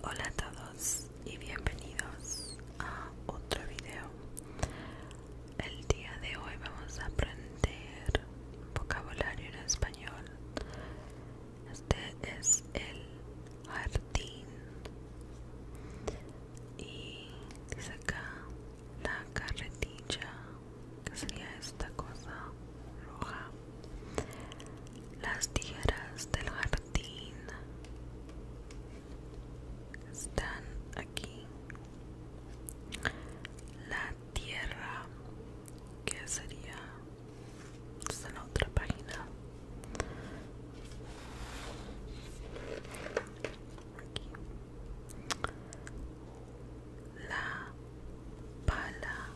Hola a todos y bienvenidos a otro video. El día de hoy vamos a aprender vocabulario en español. Este es el jardín y dice acá la carretilla que sería esta cosa roja las tijeras del jardín están aquí la tierra que sería es en otra página aquí. la pala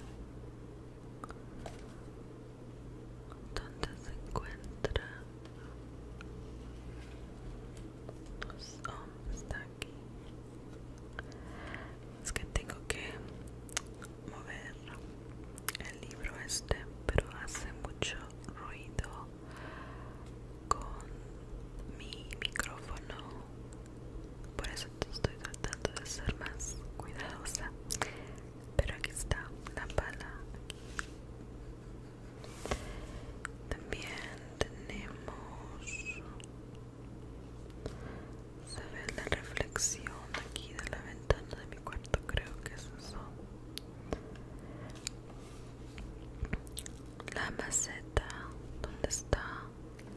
donde se encuentra oh, está aquí es que tengo que mover el libro este pero hace mucho ruido con mi micrófono por eso estoy tratando de ser más cuidadosa pero aquí está la pala también tenemos se ve la reflexión aquí de la ventana de mi cuarto creo que es eso la maceta, ¿dónde está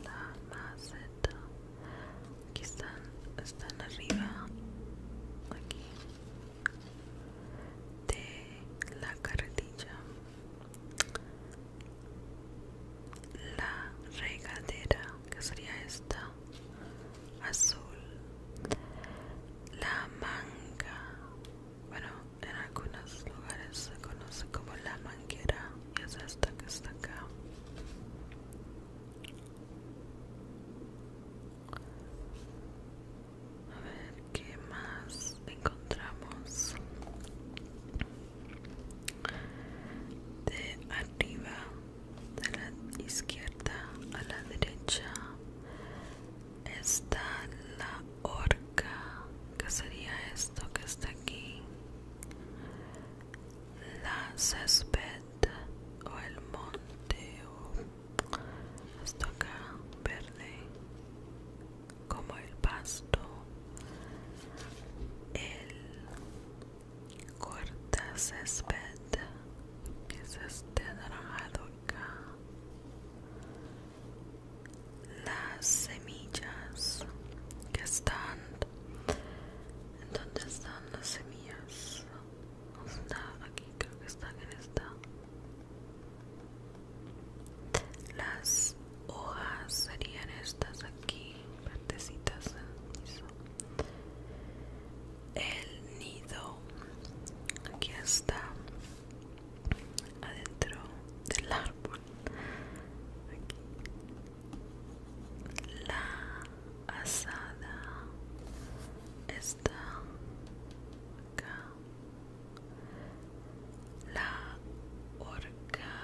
la maceta? aquí están están arriba aquí de la carretilla la regadera que sería esta azul la manga bueno en algunos lugares se conoce como la manguera y es esta que está acá a ver qué más encontramos de arriba, de la izquierda a la derecha, está la horca, que sería esto que está aquí la césped o el monte o hasta acá verde como el pasto el corta césped que es este naranjado acá las semillas que están donde están las semillas aquí creo que está en esta las hojas serían estas aquí partecitas ¿eh? el nido aquí está adentro del árbol aquí. la asada está acá la Orca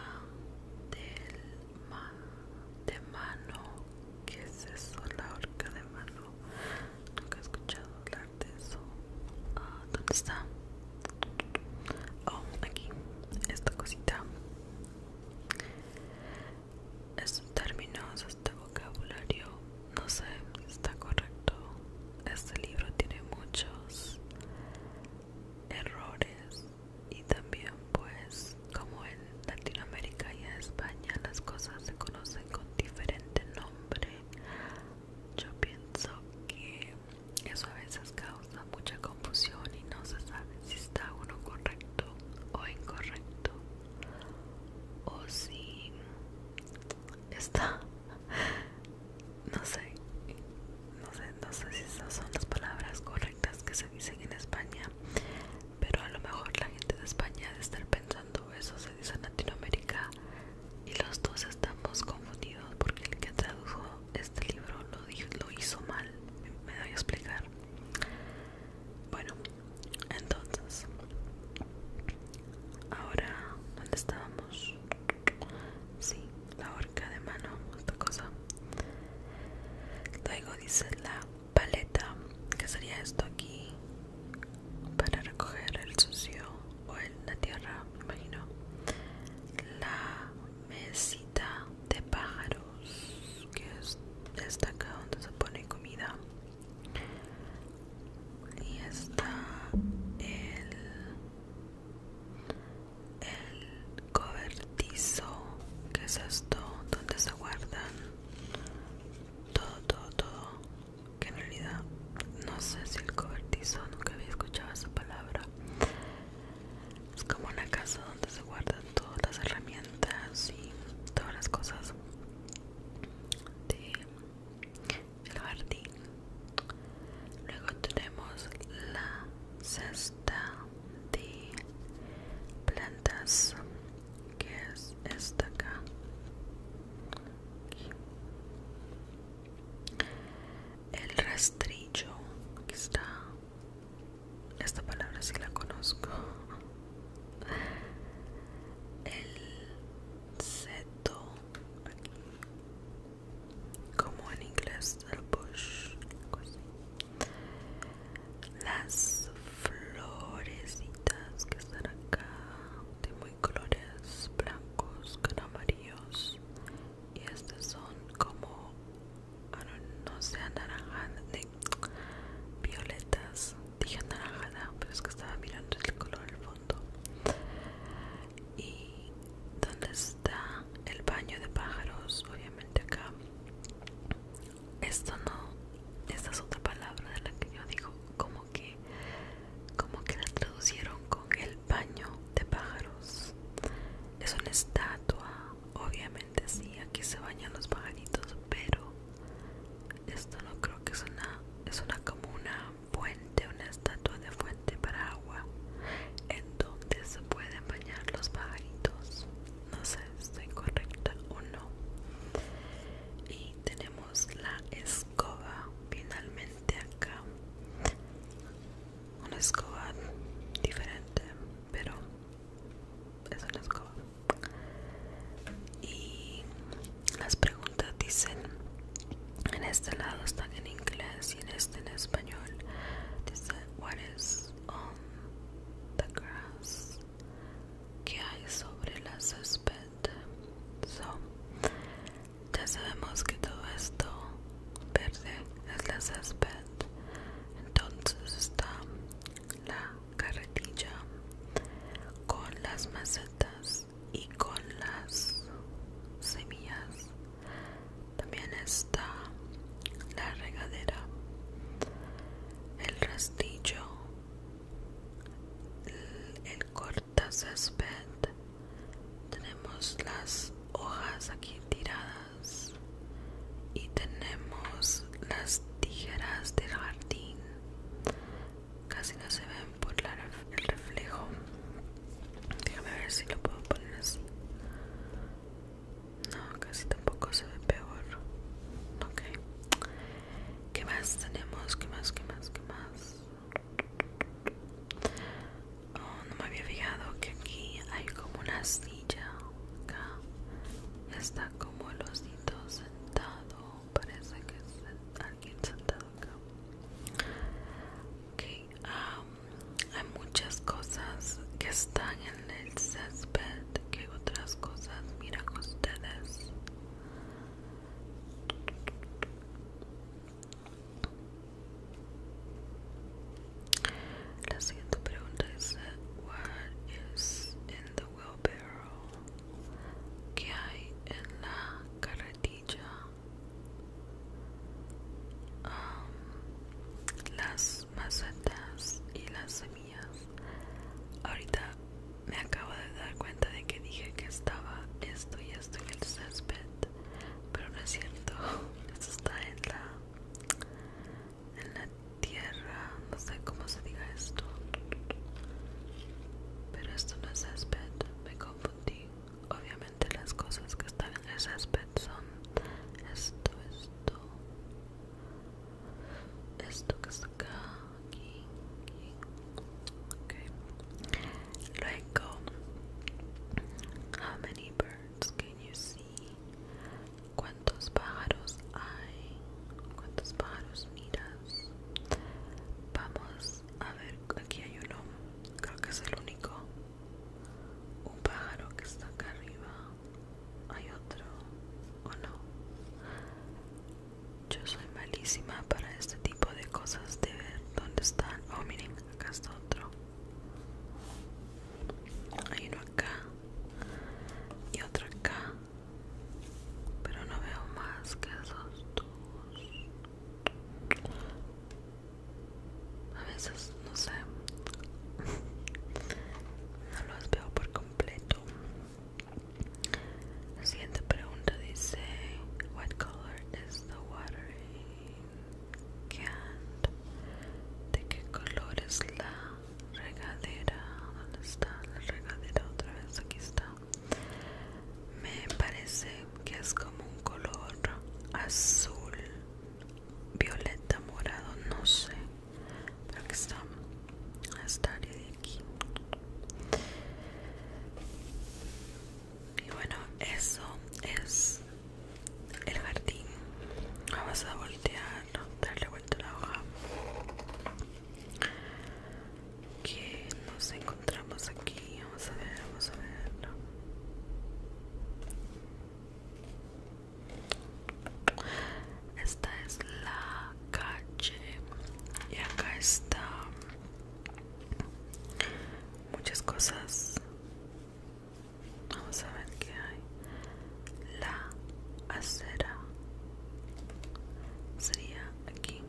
del de mano que es eso? la horca de mano nunca he escuchado hablar de eso ah, ¿dónde está? oh, aquí esta cosita estos términos, este vocabulario, no sé si está correcto. Este libro tiene muchos errores y también pues como en Latinoamérica y en España las cosas se conocen con diferente nombre. Yo pienso que eso a veces causa mucha confusión y no se sabe si está uno correcto o incorrecto o si está no sé no sé no sé si esas son las palabras correctas que se dicen en España pero a lo mejor la gente de España de estar pensando eso se dice en Latinoamérica y los dos estamos confundidos porque el que tradujo este libro lo, lo hizo mal me doy a explicar bueno entonces, ahora, ¿dónde estábamos? Sí, la horca de mano, esta cosa. Luego dice la paleta, que sería esto aquí para recoger el sucio o la tierra, me imagino. La mesita de pájaros, que es esta acá donde se pone comida y está el el cobertizo que es esto donde se guardan todo todo todo que en realidad no sé si el cobertizo nunca había escuchado esa palabra es como una casa donde se guardan todas las herramientas y todas las cosas de el jardín luego tenemos la cesta de plantas que es esta acá el rastrillo está esta palabra sí la conozco el seto como en inglés el bush las florecitas que están acá de muy colores blancos con amarillos y estas son como ah, no, no sé de violetas dije naranja, pero es que estaba mirando el color del fondo y donde está el baño de pájaros obviamente acá esto no esta es otra palabra de la que yo digo como que como que la traducieron con el baño de pájaros es una estatua obviamente sí aquí se bañan los pajaritos pero esto no creo que es una, es una como una fuente, una estatua de fuente para agua en donde se pueden bañar los pajaritos. No sé si estoy correcta o no. Y tenemos la escoba finalmente acá. Una escoba diferente, pero es una escoba y las preguntas dicen en este lado están en inglés y en este en español dice what is on um, the grass que hay sobre la césped ya sabemos que todo esto verde es la césped entonces está la carretilla con las macetas y con las semillas también está la regadera el rastillo el, corta césped tenemos las hojas aquí tiradas y tenemos las tijeras del jardín casi no se ven por el reflejo déjame ver si lo puedo poner así no casi tampoco se ve peor ok ¿Qué más tenemos? ¿Qué más? ¿Qué más? ¿Qué más? Oh, no me había fijado que aquí hay como una silla. Acá está como el osito sentado parece que es alguien sentado acá ok um, hay muchas cosas que están en el césped que otras cosas con ustedes la siguiente pregunta es what is in the wheelbarrow que hay en la carretilla um, las macetas y las semillas ahorita me acabo de dar cuenta de que dije que estaba esto y esto en el césped pero no es cierto esto está en la en la tierra no sé cómo se diga esto pero esto no es césped me confundí obviamente las cosas que están en ese césped son esto esto esto que está aquí, Ok Okay. luego how many birds can you see cuántos pájaros hay cuántos pájaros miras Vamos a ver, aquí hay uno, creo que es el único. Un pájaro que está acá arriba. Hay otro, o no. Yo soy malísima para este tipo de cosas de ver dónde están. Oh, miren, acá está otro. Hay uno acá y otro acá pero no veo más que esos dos a veces no sé no los veo por completo la siguiente pregunta dice what color is the de qué color es la regadera dónde está la regadera otra vez aquí está me parece que es como un color azul violeta morado no sé pero que está esta área de aquí y bueno eso es el jardín vamos a voltear darle vuelta a la hoja que nos encontramos aquí vamos a ver vamos a ver esta es la calle y acá está muchas cosas vamos a ver qué hay la acera sería aquí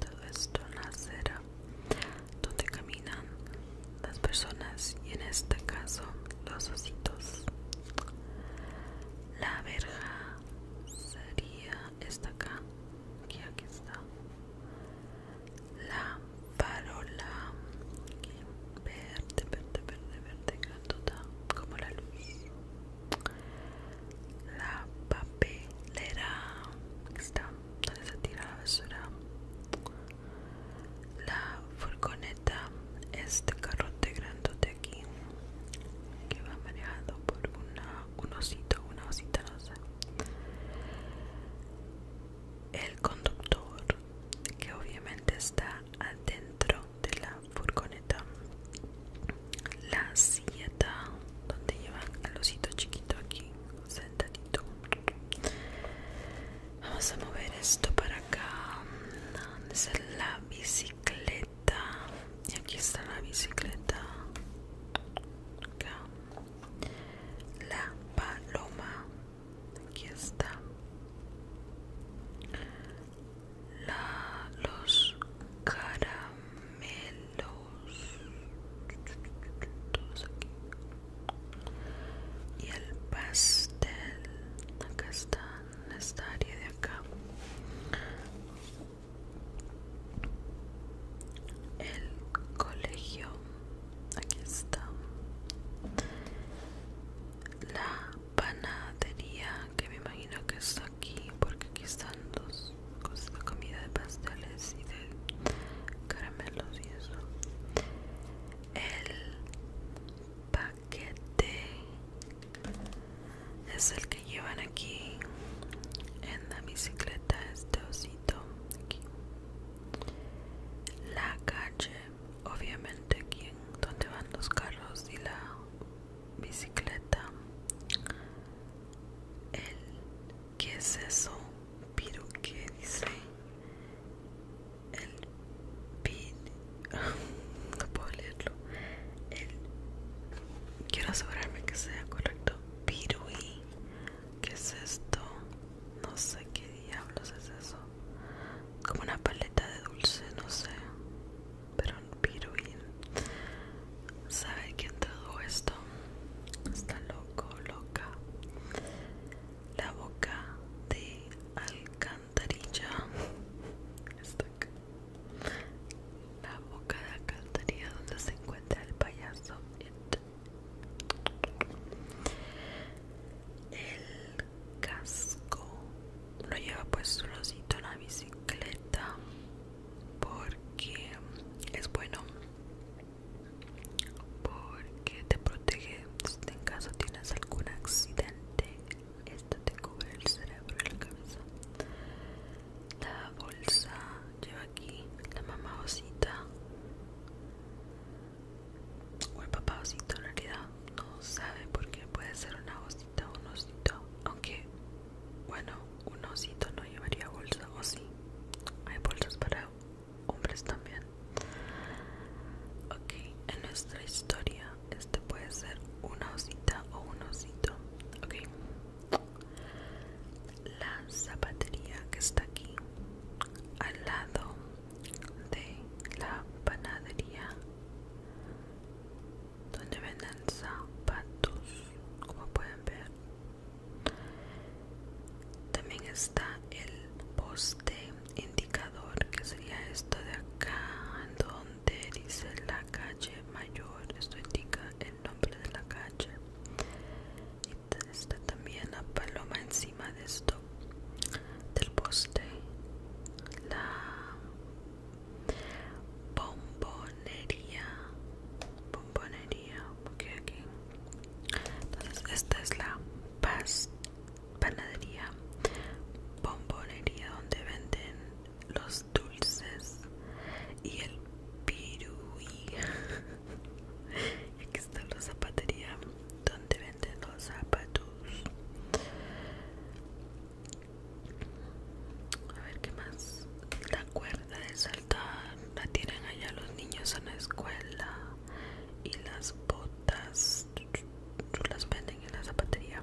todo esto en la acera donde caminan las personas y en este caso los ositos. La verja sería esta acá, que aquí está. La parola verde, verde, verde, verde, grandota, como la luz la papelera está donde se tira la basura la furgoneta este carrote grandote aquí que va manejado por una, un osito una osita no sé el conductor que obviamente está adentro de la furgoneta la silleta donde llevan el osito chiquito aquí sentadito vamos a mover esto para acá es la bicicleta y aquí está la bicicleta la paloma aquí está la, los caramelos aquí y el pastel acá está en esta área de acá el colegio aquí está la panadería que me imagino que está aquí porque aquí están dos cosas de comida de pasteles y de caramelos y eso el paquete es el que llevan aquí en la bicicleta este osito la calle obviamente aquí en donde van los carros y la bicicleta el qué es eso Piru, qué dice el pin no puedo leerlo el quiero asegurarme que sea correcto piruí qué es esto no sé qué diablos es eso como una paleta de dulce no sé pero un Piruín. ¿Sabe quién todo esto? Está loco, loca. La boca de alcantarilla. Está acá. La boca de alcantarilla donde se encuentra el payaso. El casco lo lleva puesto su osito en la bicicleta porque es bueno porque te protege en caso tienes algún accidente esto te cubre el cerebro y la cabeza la bolsa lleva aquí la mamá osita o el papá osito en realidad no sabe porque puede ser una osita o un osito aunque bueno, un osito no llevaría bolsa, o sí. Hay bolsas para hombres también. Ok, en nuestra historia, este puede ser una osita o un osito. Ok. La zapatería que está aquí, al lado de la panadería donde venden zapatos como pueden ver también está el poste indicador que sería esto de acá donde dice la calle mayor esto indica el nombre de la calle y está también la paloma encima de esto del poste la bombonería bombonería porque aquí entonces esta es la paz panadería bombonería donde venden los dulces y el piruí y aquí está la zapatería donde venden los zapatos a ver qué más. La cuerda de saltar la tienen allá los niños en la escuela. Y las botas las venden en la zapatería.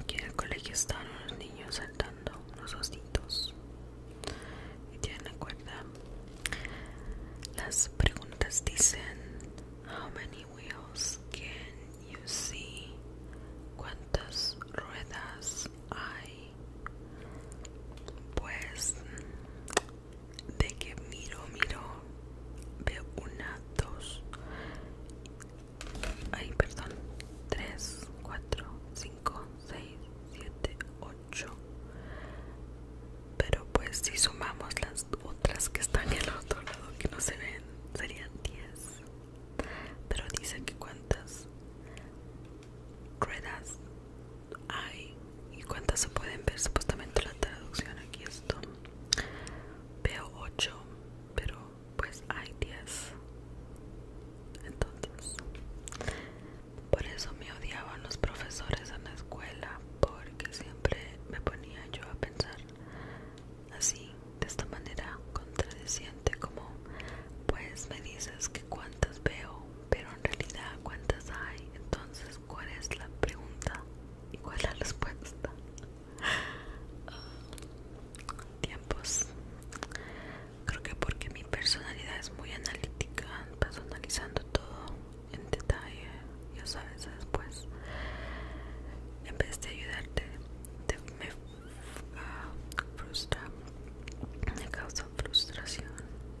Aquí en el colegio están los niños saltando, unos ositos. Y tienen la cuerda. Las preguntas dicen: ¿A dónde? wheels can you see? ¿Cuántas ruedas hay? Pues de que miro, miro, veo una, dos, ay, perdón, tres, cuatro, cinco, seis, siete, ocho. Pero pues si sumamos las que están en el otro lado que no se ven serían 10 pero dice que cuántas ruedas hay y cuántas se pueden ver supuestamente la traducción aquí esto veo 8 pero pues hay 10 entonces por eso me odiaban los profesores en la escuela porque siempre me ponía yo a pensar así, de esta manera contradeciente como pues me dices que cuántas veo, pero en realidad cuántas hay, entonces cuál es la pregunta y cuál es la respuesta. tiempos. Creo que porque mi personalidad es muy analítica, personalizando todo en detalle yo sabes, después, en vez de ayudarte, me ah, frustra, me causa frustración.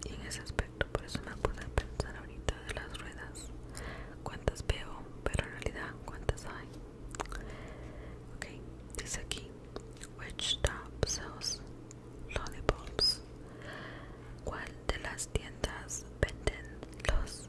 Y en ese aspecto, por eso no puedo pensar ahorita de las ruedas. ¿Cuántas veo? Pero en realidad, ¿cuántas hay? Ok, dice aquí, which shop sells lollipops? ¿Cuál de las tiendas venden los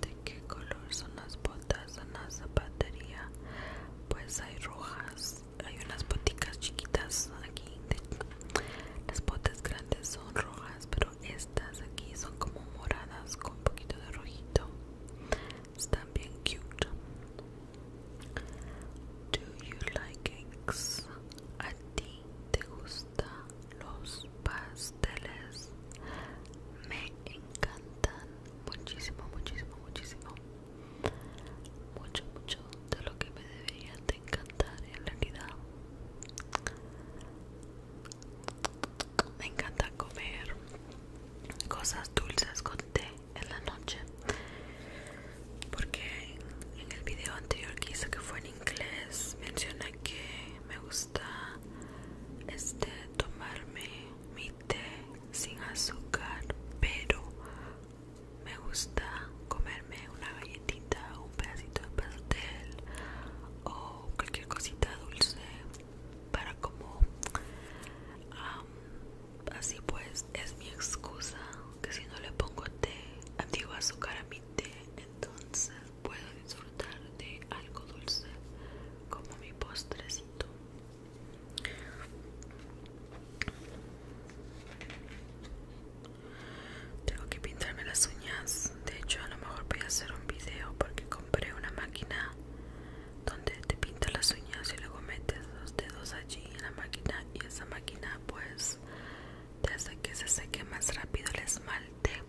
de qué color son las botas en la zapatería pues hay rojas hay unas boticas chiquitas aquí las botas grandes son rojas pero estas aquí son como moradas con un poquito de rojito están bien cute do you like cakes a ti te gustan los pasteles me encantan muchísimo, muchísimo, muchísimo. Mucho, mucho de lo que me debería de encantar en realidad. Me encanta comer cosas dulces con té en la noche. Porque en el video anterior que hice que fue en inglés mencioné que me gusta este tomarme mi té sin azúcar, pero me gusta comerme una galletita, un pedacito de pastel o cualquier cosita dulce para como así pues es mi excusa que si no le pongo té, digo azúcar a mi té, entonces puedo disfrutar de algo dulce como mi postrecito tengo que pintarme las uñas. De hecho, a lo mejor voy a hacer un video porque compré una máquina donde te pintas las uñas y luego metes los dedos allí en la máquina y esa máquina pues desde hace que se seque más rápido el esmalte.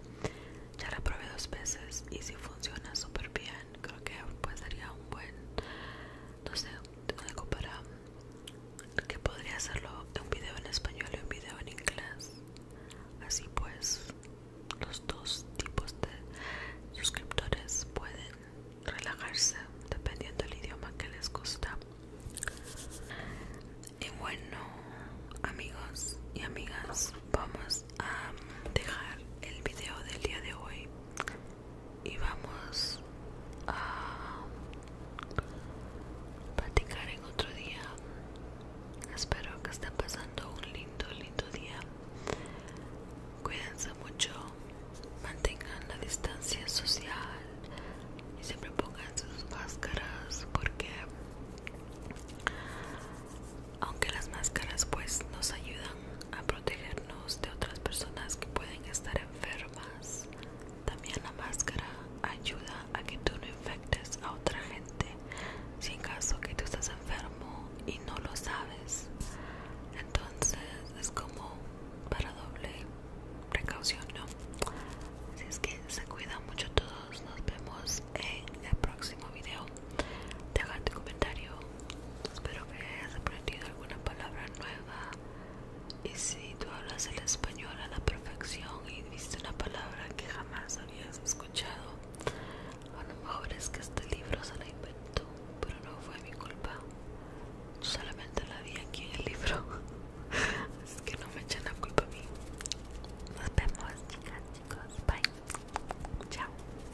Ya la probé dos veces y si funciona súper bien creo que pues sería un buen no sé algo para que podría hacerlo un video en español y un video en inglés así pues los dos tipos de suscriptores pueden relajarse dependiendo del idioma que les gusta y bueno amigos y amigas vamos a dejar el video del día de hoy y vamos a platicar en otro día. Espero que estén pasando un lindo, lindo día. Cuídense mucho, mantengan la distancia social y siempre pongan sus máscaras porque aunque las máscaras pues nos ayudan a protegernos de otras personas que pueden estar enfermas. También la máscara ayuda a que tú no infectes a otra gente si en caso que tú estás enfermo y no lo sabes. Entonces es como para doble precaución, ¿no? Así es que se cuidan mucho todos. Nos vemos en el próximo video deja tu comentario espero que hayas aprendido alguna palabra nueva y si tú hablas el español a la perfección y viste una palabra que jamás habías escuchado a lo mejor es que este libro se la inventó pero no fue mi culpa solamente la vi aquí en el libro así que no me echen la culpa a mí nos vemos chicas chicos bye chao